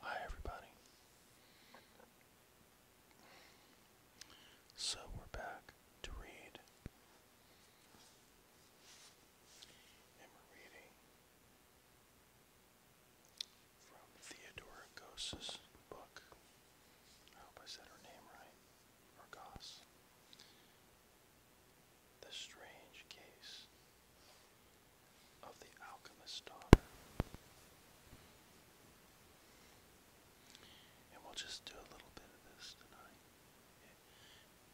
Hi, everybody. So we're back to read. we're reading from Theodora book. I hope I said her name right. Or the Strange Case of the Alchemist's Daughter. And we'll just do a little bit of this tonight.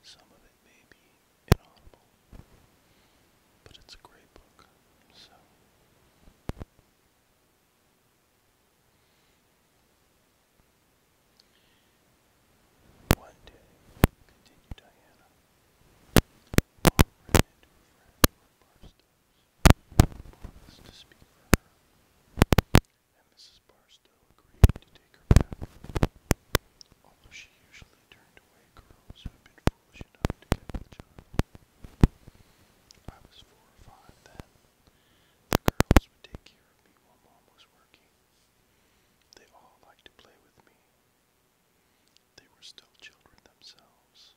Some of it may be inaudible, but it's a great book, so. One day, continued Diana, Bob ran into a friend who to speak for her, and Mrs. Barstow agreed to take her back, although she usually turned away girls who had been foolish enough to get the child. I was four or five then. The girls would take care of me while Mom was working. They all liked to play with me, they were still children themselves.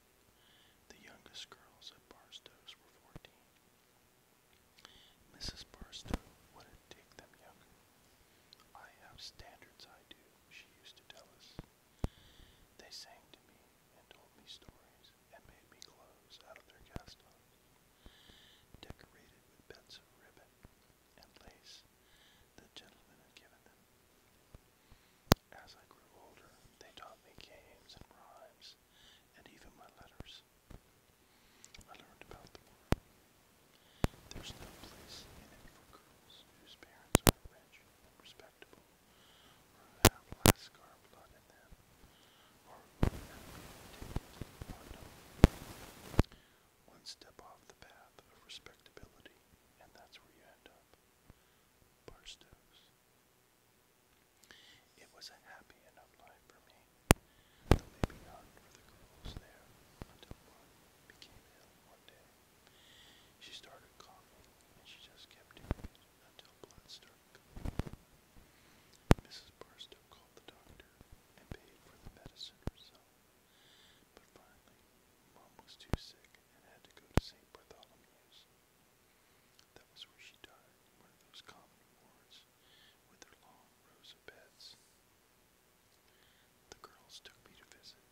The youngest girls at Barstow's were fourteen. Mrs. Barstow wouldn't take them younger. I have standards, I do, she used to tell us. They sang to me and told me stories and made me clothes out of their cast-offs, decorated with bits of ribbon and lace the gentleman had given them. As I grew older, they taught me games and rhymes, and even my letters. I learned about the world. There's no place in it for girls whose parents are rich and respectable, or who have Lascar blood in them, or who have been taken or no one step off the path of respectability, and that's where you end up. Barstow's. It was a happy enough life for me, though maybe not for the girls there, until one became ill one day. She started coughing, and she just kept doing it until blood started coming. Mrs. Barstow called the doctor and paid for the medicine herself. But finally, Mom was too sick and had to go to St. Bartholomew's. That was where she died in one of those common wards with their long rows of beds. The girls took me to visit,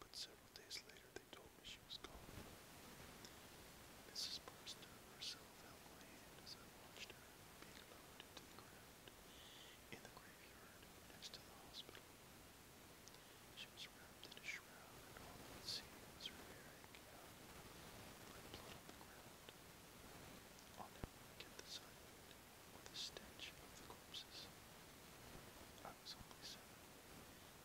but several days later they told me she was gone. Mrs. Barstow herself held my hand as I watched her being lowered into the ground in the graveyard next to the hospital. She was wrapped in a shroud, and all I could see was blood on the ground. I'll never the sight or the stench of the corpses. I was only seven,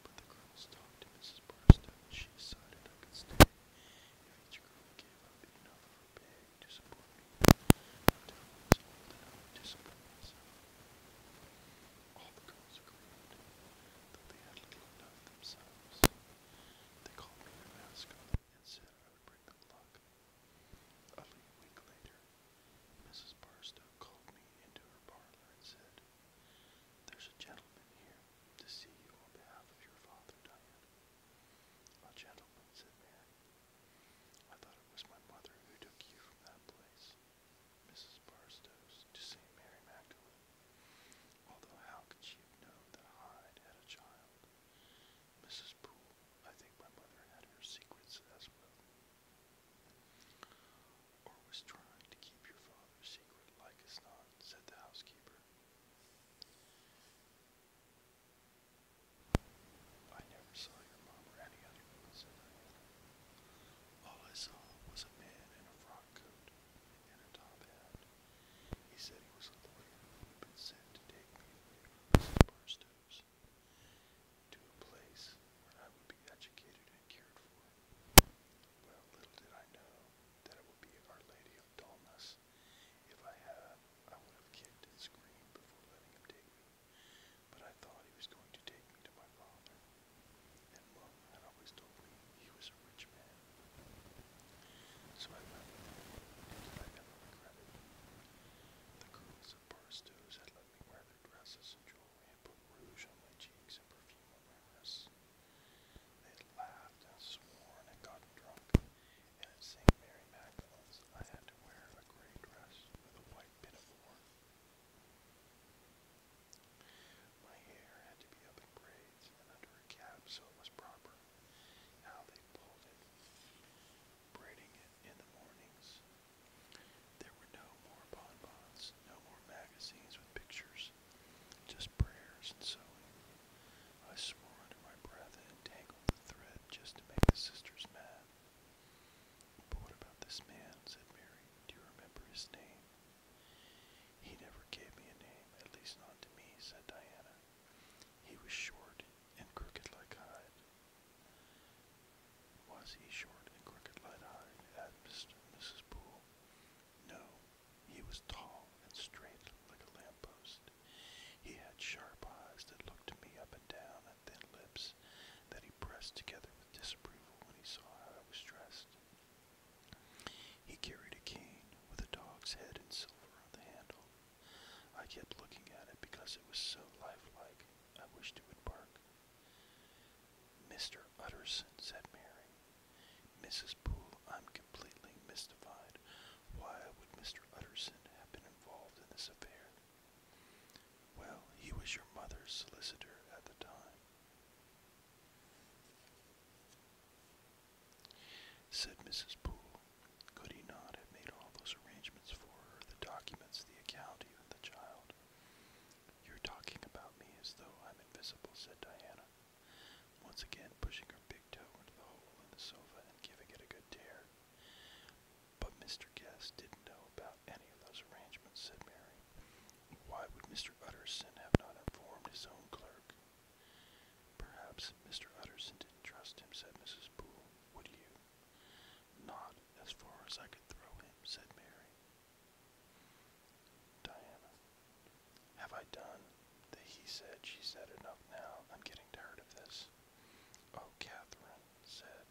but the girls talked to Mrs. Barstow, and she decided I could stay each girl gave up enough to support me until I me and said I would bring them luck. A week later, Mrs. Barstow called me into her parlor and said, There's a gentleman here to see you on behalf of your father, A gentleman, said Mary. I thought it was my mother who took you from that place, Mrs. Barstow's, to St. Mary Magdalene. Although how could she have known that Hyde had a child? Mrs. Poole, I think my mother had her secrets as well. Or was trying to keep your father's secret like as not, said the housekeeper. I never saw your mom or any other woman, said All I saw was a man in a frock coat and a top hat. He said he was a lawyer who sent to take me away from Mrs. to a place where I would be educated and cared for. Well, little did I know that it would be Our Lady of Dullness. If I had, I would have kicked and screamed before letting him take me. But I thought he was going to take me to my father. And Mum had always told me he was a rich man. So I left them, and I never The girls at Barstow's had let me wear their dresses and jewelry and put rouge on my cheeks and perfume on my wrists. They laughed and sworn and gotten drunk, and at Mary Magdalene's wear a gray dress with a white pinafore. My hair had to be up in braids and under a cap so it was proper. How they pulled it, braiding it in the mornings. There were no more bonbons, no more magazines with pictures, just prayers and sewing. I swore under my breath and tangled the thread just to make the sisters mad that. But what about this man? said Mary. Do you remember his name? He never gave me a name, at least not to me, said Diana. He was short and crooked like Hyde. Was he short and crooked like Hyde? asked Mr. and Mrs. Poole. No, he was tall and straight like a lamppost. He had sharp eyes that looked me up and down thin lips that he pressed together with disapproval when he saw how I was dressed. He carried a cane with a dog's head and silver on the handle. I kept looking at it because it was so lifelike. I wished it would bark. Mr. Utterson, said Mary. Mrs. Poole, I'm completely mystified. Why would Mr. Utterson have been involved in this affair? Well, he was your mother's solicitor at the time. Said Mrs. Poole, could he not have made all those arrangements for her, the documents, the account, even the child? You're talking about me as though I'm invisible, said Diana, once again pushing her big toe into the hole in the sofa and giving it a good tear. But Mr. Guest didn't know about any of those arrangements, said Mary. Why would Mr. Utterson have not informed his own clerk? Perhaps Mr. Utterson didn't trust him, said Mrs. Poole. Would you? Not as far as I could throw him, said Mary. Diana. Have I done? The he said, she said enough now. I'm getting tired of this. Oh, Catherine, said,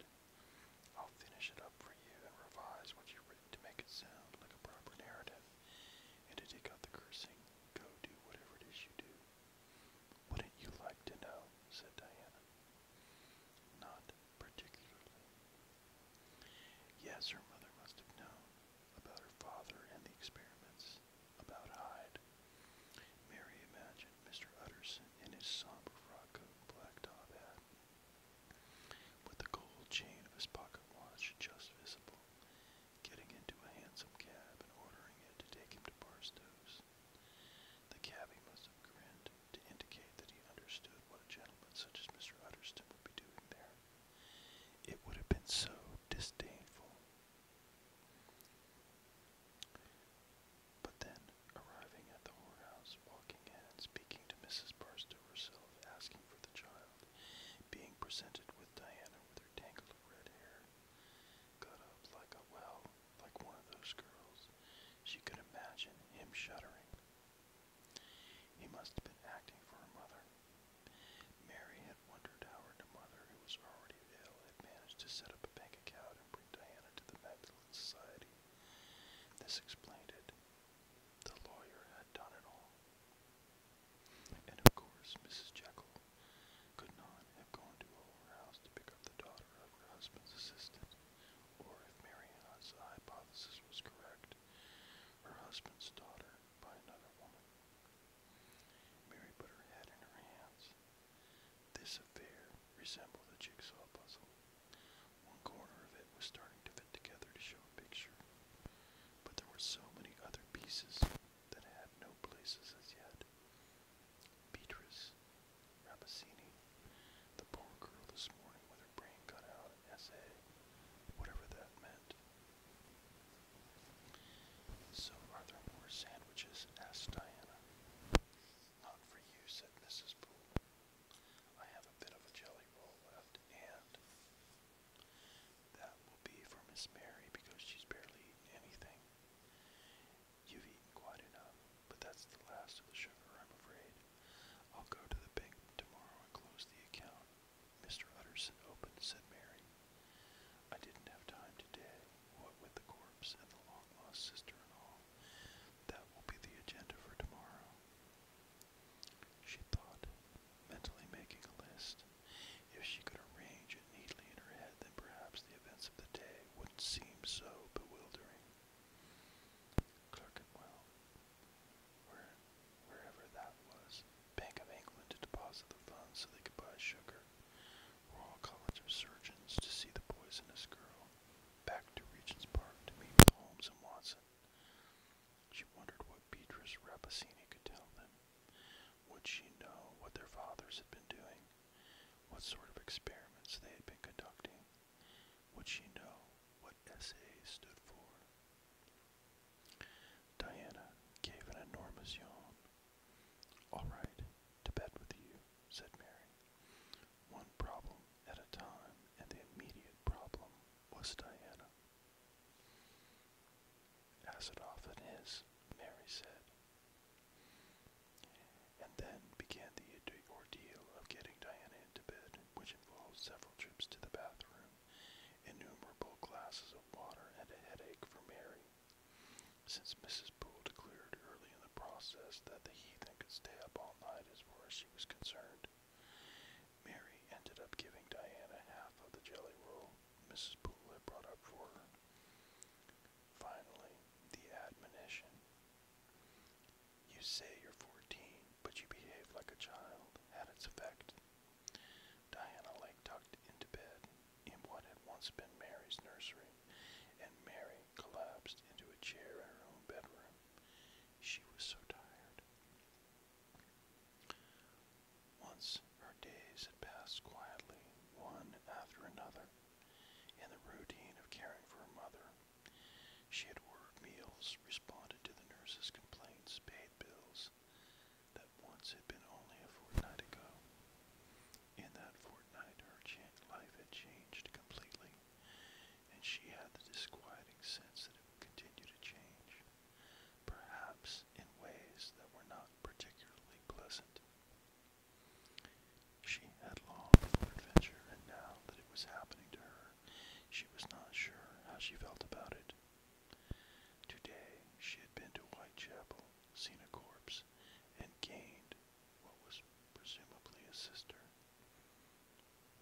I'll finish it up for you and revise what you've written to make it sound like a proper narrative, and to take out the cursing. Go do whatever it is you do. Wouldn't you like to know? said Diana. Not particularly. Yes, her mother must have known about her father and the experiments, about Hyde, Mary imagined Mr. Utterson in his somber frock coat and black top hat, with the gold chain of his pocket watch just visible, getting into a hansom cab and ordering it to take him to Barstow's. The cabby must have grinned to indicate that he understood what a gentleman such as Mr. Utterson would be doing there. It would have been so disdainful but then, arriving at the whorehouse, walking in speaking to Mrs. Barstow herself, asking for the child, being presented with Diana with her tangle red hair, got up like a well, like one of those girls. She could imagine him shuddering. He must have been acting for her mother. Mary had wondered how her mother, who was already ill, had managed to set up a bank account and Diana to the Magdalen Society. This explained it. The lawyer had done it all. And of course, Mrs. Jekyll could not have gone to her house to pick up the daughter of her husband's assistant, or if Marianne's hypothesis was correct, her husband's daughter by another woman. Mary put her head in her hands. This affair resembled a jigsaw puzzle. One corner of it was starting to fit together to show a picture, but there were so many other pieces that had no places as yet. Beatrice Rapacini, the poor girl this morning with her brain cut out, essay, whatever that meant. So, are there more sandwiches? asked Diana. Not for you, said Mrs. Poole. I have a bit of a jelly roll left, and that will be for Miss Mary because she's barely anything. You've eaten quite enough, but that's the last of the sugar, I'm afraid. I'll go to the bank tomorrow and close the account. Mr. Utterson opened, said Mary. I didn't have time today, what with the corpse and the long lost sister and all. That will be the agenda for tomorrow. She thought, mentally making a list. If she could arrange it neatly in her head, then perhaps the events of the day wouldn't seem so bewildering. Clerkenwell, where, wherever that was, Bank of England to deposit the funds so they could buy sugar. Royal College of Surgeons to see the poisonous girl, back to Regent's Park to meet with Holmes and Watson. She wondered what Beatrice Rappaccini could tell them. Would she know what their fathers had been doing? What sort of experiments they had been conducting? Would she know what SA stood for? Diana gave an enormous yawn. All right, to bed with you, said Mary. One problem at a time, and the immediate problem was Diana. As it often is, Mary said. And then began the ordeal of getting Diana into bed, which involved several trips to the bathroom, innumerable glasses of water, and a headache for Mary since Mrs. Poole declared early in the process that the heathen could stay up all night as far as she was concerned, Mary ended up giving Diana half of the jelly roll Mrs. Poole had brought up for her. Finally, the admonition. You say you're 14, but you behave like a child, had its effect. Diana lay tucked into bed, in what had once been Mary's nursery, and Mary collapsed into a chair in her own bedroom. She was so tired. Once her days had passed quietly, one after another, in the routine of caring for her mother. She had ordered meals, responded to the nurse's complaints, paid bills that once had been only a fortnight ago. In that fortnight, her life had changed completely, and she had the disquieting sense that it would continue to change, perhaps in ways that were not particularly pleasant. She had longed for adventure, and now that it was happening to her, she was not sure how she felt about it. Today, she had been to Whitechapel, seen a corpse, and gained what was presumably a sister.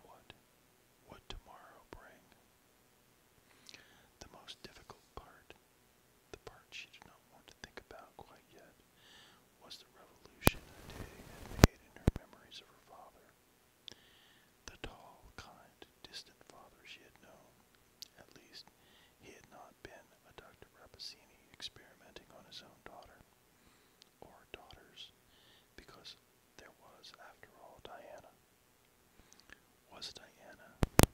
What would tomorrow bring? The most difficult part, the part she did not want to think about quite yet, was the revolution day had made in her memories of her father. The tall, kind, distant father she had known. At least, he had not been a Dr. Rappaccini experimenting on his own daughter or daughters, because there was, after all, Diana. Was Diana,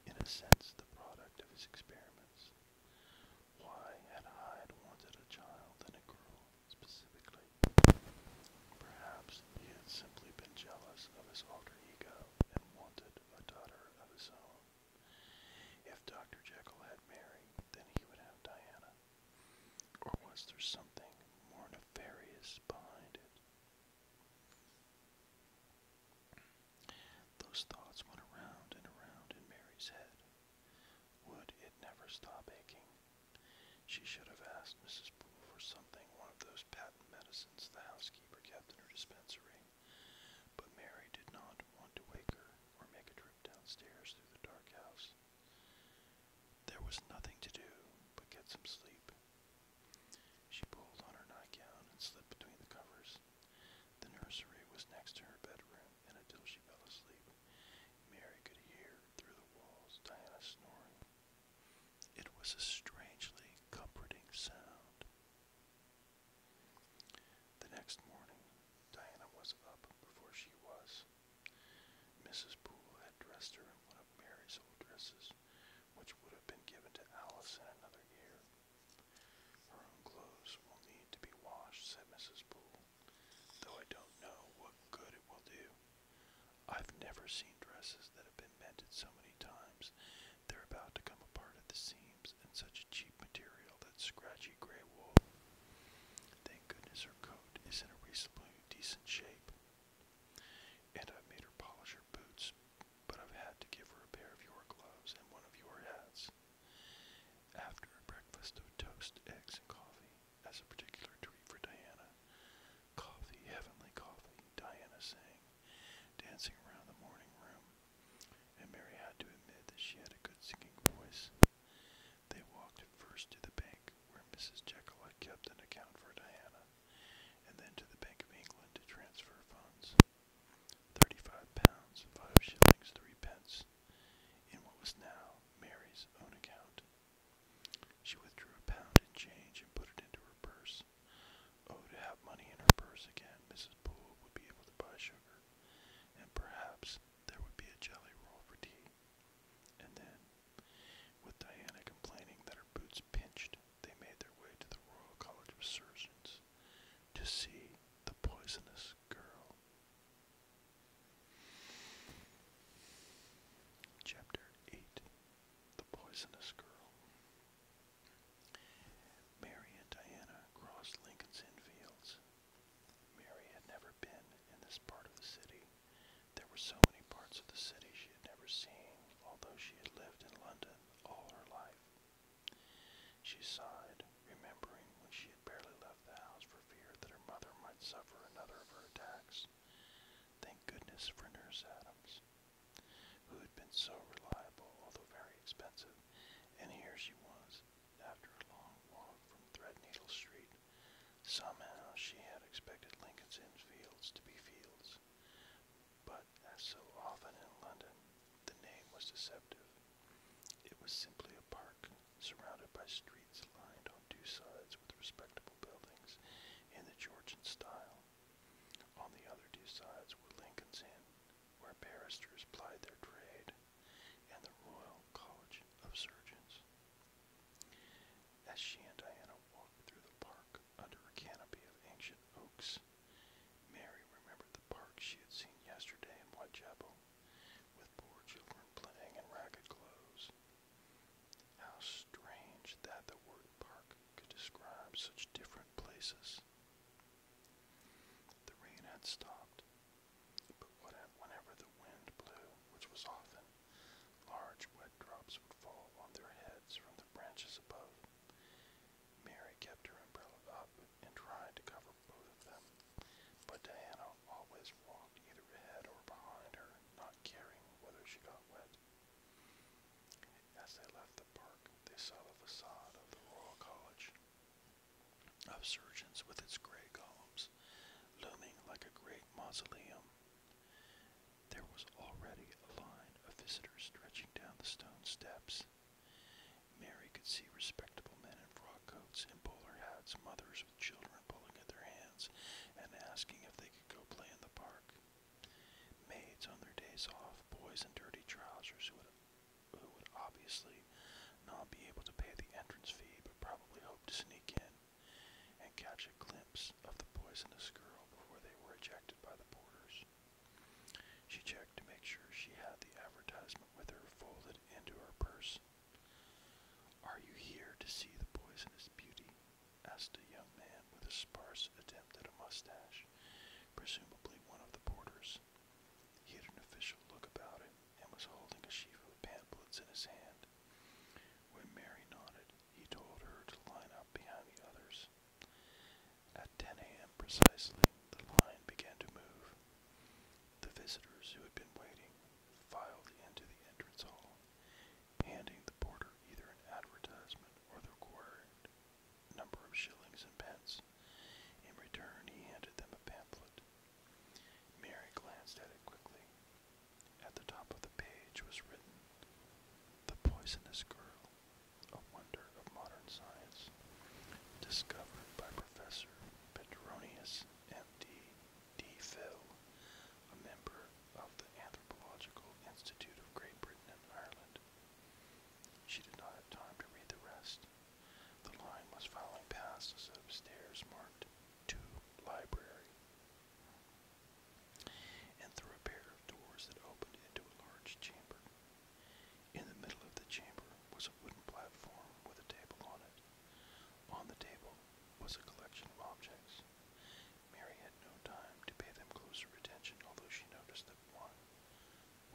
in a sense, the product of his experiments? Why had Hyde wanted a child and a girl specifically? Perhaps he had simply been jealous of his alter ego and wanted a daughter of his own. If Dr. Jekyll had Mary, then he would have Diana. Or was there something more nefarious behind it? Those thoughts went around and around in Mary's head. Would it never stop aching? She should have asked Mrs. Poole for something, one of those patent medicines the housekeeper kept in her dispensary. But Mary did not want to wake her or make a trip downstairs through the dark house. There was nothing to do but get some sleep. She pulled on her nightgown and slipped between the covers. The nursery was next to her bedroom, and until she fell asleep, Mary could hear through the walls Diana snoring. It was a strangely comforting sound. The next morning, Diana was up before she was. Mrs. Poole had dressed her in one of Mary's old dresses, which would have been given to Alice in another year. Her own clothes will need to be washed, said Mrs. Poole, though I don't know what good it will do. I've never seen dresses that have been mended so many times they're about to come apart at the seams seams and such a cheap material that scratchy gray wool. Thank goodness her coat is in a reasonably decent shape. And I've made her polish her boots, but I've had to give her a pair of your gloves and one of your hats. After a breakfast of toast, eggs, and coffee, as a particular treat for Diana, coffee, heavenly coffee, Diana sang, dancing around the morning room, and Mary had to admit that she had a good singing voice. They walked first to the bank, where Mrs. Jekyll had kept an account for Diana, and then to the Bank of England to transfer funds. Thirty-five pounds, five shillings, three pence, in what was now Mary's own account. She withdrew a pound in change and put it into her purse, Oh, to have money in her purse again, Mrs. Poole would be able to buy sugar, and perhaps there would be a jelly roll for tea. And then, with Diana complaining that her boots pinched, they made their way to the Royal College of Surgeons to see the poisonous girl. Chapter 8 The Poisonous Girl. Mary and Diana crossed Lincoln's Inn Fields. Mary had never been in this part of the city. There were so many parts of the city she had never seen, although she had lived in London all her life. She sighed, remembering when she had barely left the house for fear that her mother might suffer another of her attacks. Thank goodness for Nurse Adams, who had been so reliable, although very expensive. And here she was, after a long walk from Threadneedle Street. Somehow she had expected Lincoln's Inn Fields to be Fields. But, as so often in London, the name was deceptive. It was simply a park, surrounded by streets lined on two sides with respectable buildings in the Georgian style. On the other two sides were Lincoln's Inn where barristers plied their trade, and the Royal College of Surgeons. As she and Diana walked through the park under a canopy of ancient oaks, Mary remembered the park she had seen yesterday in Whitechapel, with poor children playing in ragged clothes. How strange that the word park could describe such different places. The rain had stopped, but whenever the wind blew, which was often, large wet drops would fall on their heads from the branches above. Mary kept her umbrella up and tried to cover both of them, but Diana always walked either ahead or behind her, not caring whether she got wet. As they left the park, they saw the facade of the Royal College of Surgeons with its gray columns looming like a great mausoleum. There was already a line of visitors stretching down the stone steps. Mary could see respectable men in frock coats and bowler hats, mothers with children pulling at their hands and asking if they could go play in the park. Maids on their days off, boys in dirty trousers who had who would obviously not be able to pay the entrance fee but probably hope to sneak in and catch a glimpse of the poisonous girl before they were ejected by the porters. She checked to make sure she had the advertisement with her folded into her purse. Are you here to see the poisonous beauty? asked a young man with a sparse attempt at a mustache, presumably one of the porters. He had an official look about him and was holding a sheaf of pamphlets in his hand. When Mary nodded, he told her to line up behind the others. At 10 a.m. precisely, the line began to move. The visitors who had been waiting filed into the entrance hall, handing the porter either an advertisement or the word number of shillings and pence. In return, he handed them a pamphlet. Mary glanced at it quickly. At the top of the page was written, The Poisonous Girl, a Wonder of Modern Science, discovered by Professor Petronius M.D. D. Phil, a member of the Anthropological Institute of Great Britain and Ireland. She did not have time to read the rest. The line was following past a set of stairs marked to library and through a pair of doors that opened into a large chamber. In the middle of the chamber was a wooden platform with a table on it. On the table was a collection of objects. Mary had no time to pay them closer attention, although she noticed that one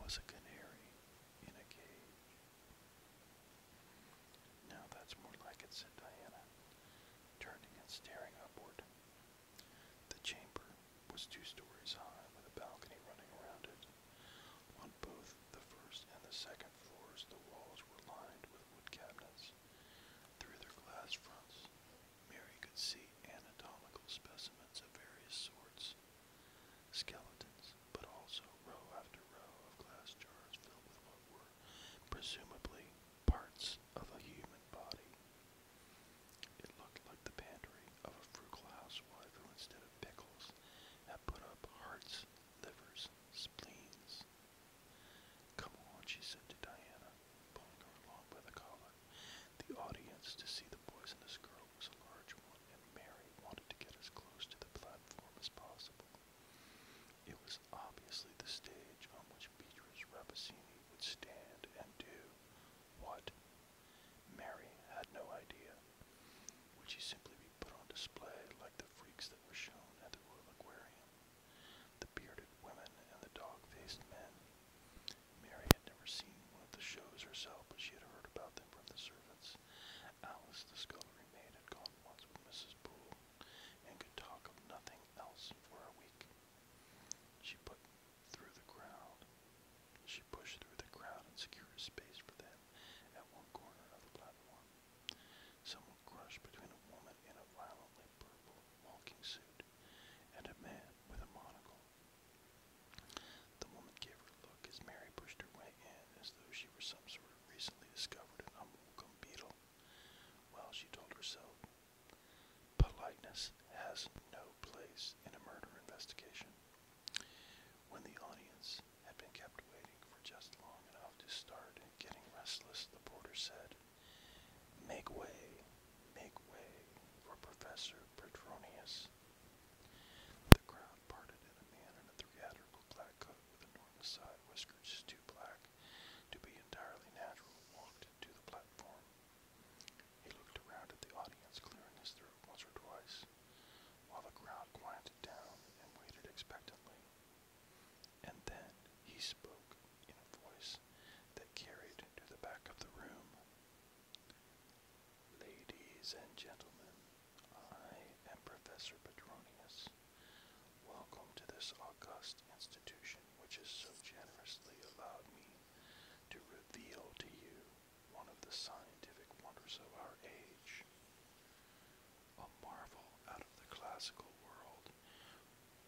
was a canary in a cage. Now that's more like it, said Diana, turning and staring upward. The chamber was two stories high with a balcony running around it. On both the first and the second floors, the walls were lined with wood cabinets. Through their glass fronts, Mary could see anatomical specimens of various sorts, skeletons, but also row after row of glass jars filled with what were presumably parts of a human body. It looked like the pantry of a frugal housewife who, instead of pickles, had put up hearts, livers, spleens. Come on, she said to Diana, pulling her along by the collar. The audience to see the boys and this girl was a large one, and Mary wanted to get as close to the platform as possible. It was obviously the stage on which Beatrice Rapacini would stand and do what? Mary had no idea. Would she simply be put on display like the freaks that were shown at the Royal Aquarium? The bearded women and the dog-faced men Mary had never seen one of the shows herself, but she had heard about them from the servants. Alice, the scullery maid, had gone once with Mrs. Poole, and could talk of nothing else for a week. She put through the crowd. She pushed through the crowd and secured a space for them at one corner of the platform. Someone crushed between a woman in a violently purple walking suit and a man with a monocle. The woman gave her a look as Mary pushed her way in, as though she were some sort of recently discovered and unwelcome beetle. Well, she told herself, politeness has no place in a murder investigation. When the audience had been kept waiting for just long enough to start getting restless, the porter said, Make way, make way for Professor Petronius. The crowd parted, and a man in a theatrical black coat with a side whiskers too black to be entirely natural walked to the platform. He looked around at the audience, clearing his throat once or twice, while the crowd quieted down and waited expectantly. And then he spoke in a voice that carried to the back of the room. Ladies and gentlemen, I am Professor Petronius. Welcome to this august institution which has so generously allowed me to reveal to you one of the scientific wonders of our age, a marvel out of the classical world,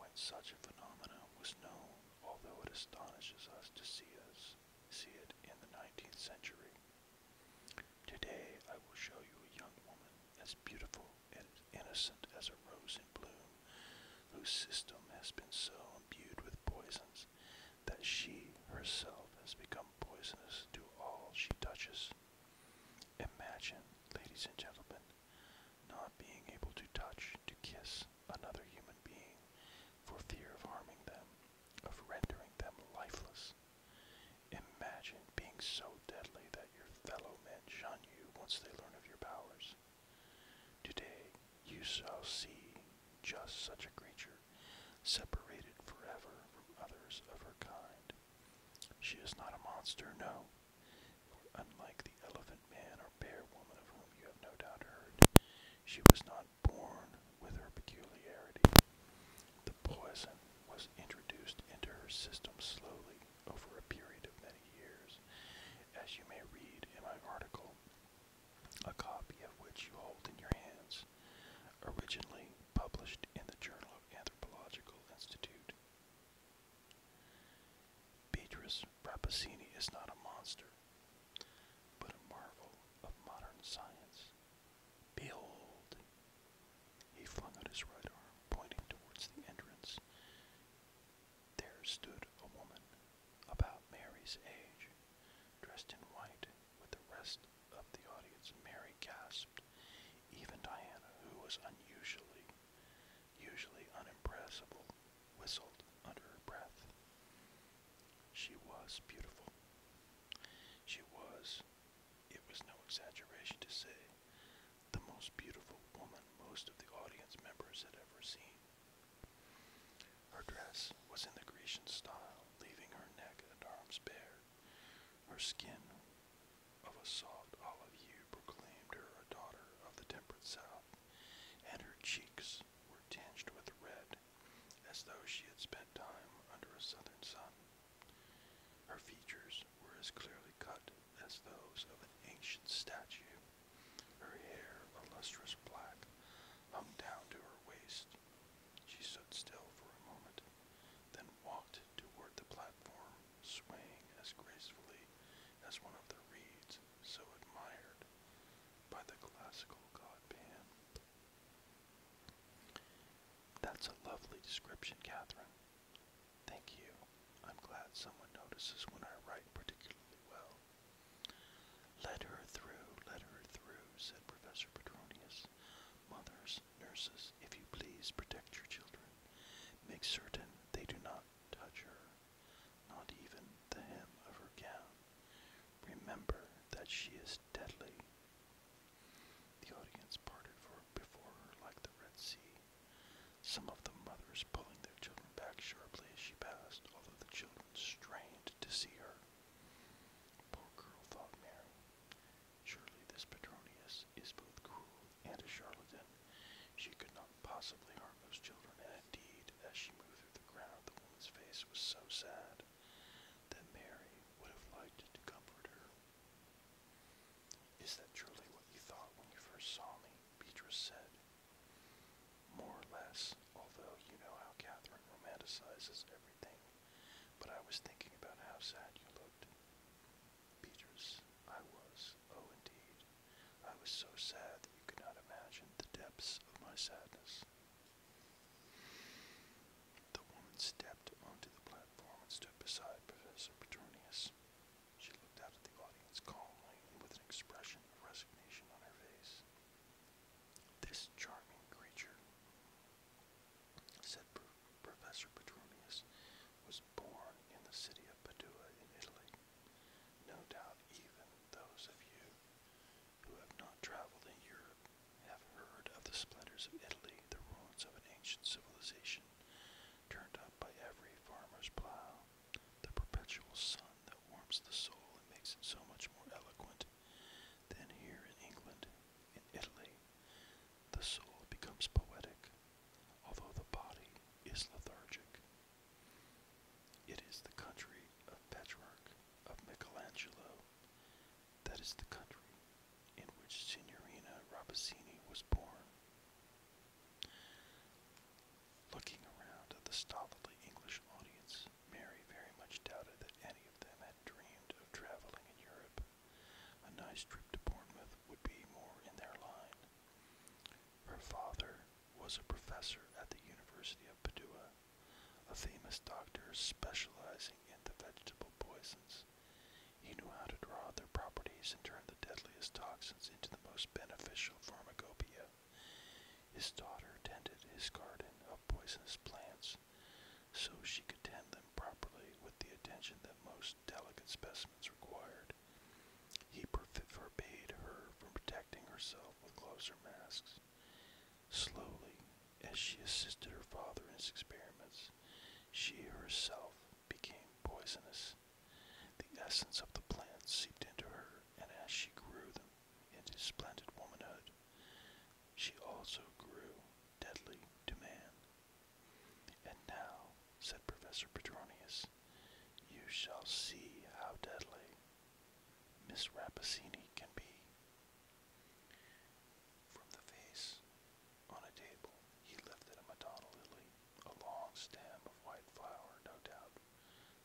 when such a phenomenon was known, although it astonishes us to see us see it in the 19th century. Today I will show you a young woman as beautiful and innocent as a rose in bloom, whose system has been so imbued with poisons that she herself has become poisonous to all she touches. Imagine, ladies and gentlemen, not being able to touch, to kiss, another human being for fear of harming them, of rendering them lifeless. Imagine being so deadly that your fellow men shun you once they learn of your powers. Today you shall see just such a creature, separated forever from others of her kind. She is not a monster, no. For unlike the elephant man or bear woman of whom you have no doubt heard, she was not born with her peculiarity. The poison was introduced into her system slowly over a period of many years, as you may read in my article, a copy of which you hold in your hands, originally published in the Journal of Anthropological Institute. Beatrice Rappaccini is not a monster but a marvel of modern science. Behold! He flung out his right arm, pointing towards the entrance. There stood a woman, about Mary's age, dressed in white with the rest of the audience. Mary gasped. Even Diana, who was unusually, usually unimpressible, whistled under her breath. She was beautiful. She was, it was no exaggeration to say, the most beautiful woman most of the audience members had ever seen. Her dress was in the Grecian style, leaving her neck and arms bare. Her skin, of a soft olive hue, proclaimed her a daughter of the temperate south, and her cheeks, were tinged with red, as though she had spent time under a southern sun. Her features were as clearly cut as those of an ancient statue. Her hair, a lustrous black, hung down to her waist. She stood still for a moment, then walked toward the platform, swaying as gracefully as one of the reeds so admired by the classical god Pan. That's a lovely description, Catherine. Thank you. I'm glad someone notices when I write particularly well. Let her through, let her through, said Professor Petronius. Mothers, nurses, if you please, protect your children. Make certain they do not touch her not even the hem of her gown. Remember that she is deadly. The audience parted for, before her like the Red Sea. Some of the mothers pulling their children back sharply as she passed, although the children strained to see her. Poor girl, thought Mary. Surely this Petronius is both cruel and a charlatan. She could not possibly harm those children, and indeed, as she moved the ground, the woman's face was so sad that Mary would have liked to comfort her. Is that truly what you thought when you first saw me? Beatrice said. More or less, although you know how Catherine romanticizes everything, but I was thinking about how sad you looked. Beatrice, I was, oh indeed. I was so sad that you could not imagine the depths of my sadness. The woman stepped onto the platform and stood beside Professor Petronius. She looked out at the audience calmly with an expression of resignation on her face. This charming creature, said Professor Petronius, was born in the city of Padua in Italy. No doubt even those of you who have not traveled in Europe have heard of the splendors of Italy, the ruins of an ancient civilization turned up by every farmer's plow, the perpetual sun that warms the soul and makes it so much more eloquent than here in England, in Italy. The soul becomes poetic, although the body is lethargic. It is the country of Petrarch, of Michelangelo. That is the country in which Signorina Robesini was born. Looking around at the stolidly English audience, Mary very much doubted that any of them had dreamed of traveling in Europe. A nice trip to Bournemouth would be more in their line. Her father was a professor at the University of Padua, a famous doctor specializing in the vegetable poisons. He knew how to draw out their properties and turn the deadliest toxins into the most beneficial pharmacopoeia. His daughter tended his garden of poisonous plants so she could tend them properly with the attention that most delicate specimens required. He forbade her from protecting herself help but masks. Slowly, as she assisted her father in his experiments, she herself became poisonous. The essence of the plants seeped into her, and as she grew them into splendid womanhood, she also grew deadly to man. And now, said Professor Petronius, you shall see how deadly Miss Rappaccini can be. From the vase on a table, he lifted a Madonna lily, a long stem of white flower, no doubt,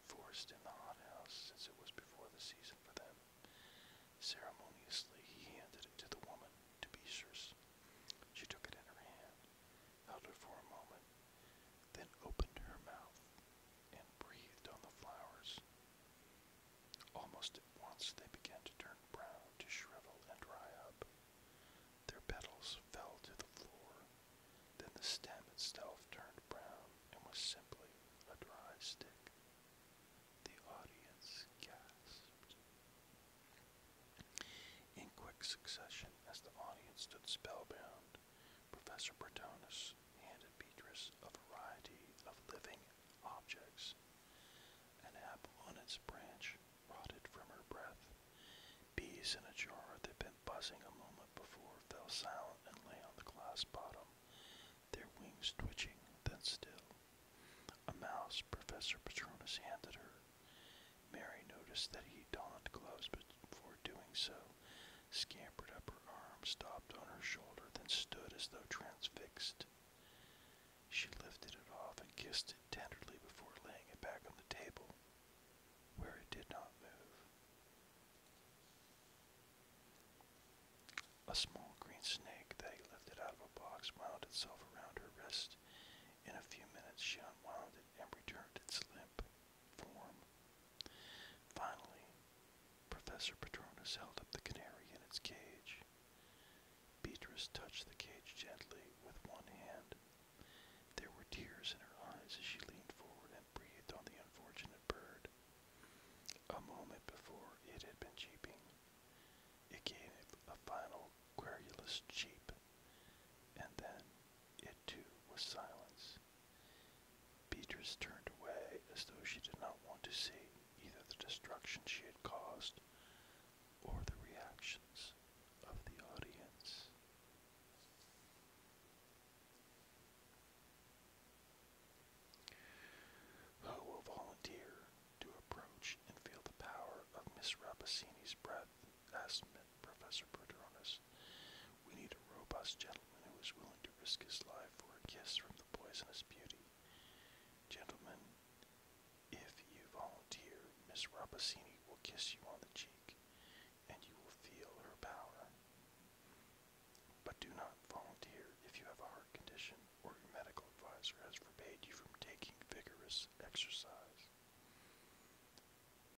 forced in the hothouse since it was before the season for them. Ceremoniously, he handed it to the woman, to be sure. She took it in her hand, held it for a moment, then opened her mouth and breathed on the flowers. Almost at once they began to turn brown, to shrivel and dry up. Their petals fell to the floor. Then the stem itself turned brown and was simply a dry stick. The audience gasped. In quick succession, as the audience stood spellbound, Professor Bretonus handed Beatrice a variety of living objects. An apple on its branch rotted from her breath. Bees in a jar that had been buzzing a moment before fell silent and lay on the glass bottom, their wings twitching, then still. A mouse Professor Patronus handed her. Mary noticed that he donned gloves before doing so, scampered up her arm, stopped on her shoulder, then stood as though transfixed. She lifted it off and kissed it tenderly before laying it back on the table, where it did not move. A small green snake that he lifted out of a box wound itself around her wrist. In a few minutes she unwound it and returned its limp, Finally, Professor Patronus held up the canary in its cage. Beatrice touched the cage gently with one hand. There were tears in her eyes as she leaned forward and breathed on the unfortunate bird. A moment before, it had been cheeping. It gave a final querulous cheep, and then it too was silence. Beatrice turned away as though she did not want to see either the destruction she had caused or the reactions of the audience. Who will volunteer to approach and feel the power of Miss Rappaccini's breath? asked Professor Bertaranus. We need a robust gentleman who is willing to risk his life for a kiss from the poisonous beauty. Gentlemen, if you volunteer, Miss Rappaccini will kiss you on the cheek, and you will feel her power. But do not volunteer if you have a heart condition or your medical advisor has forbade you from taking vigorous exercise.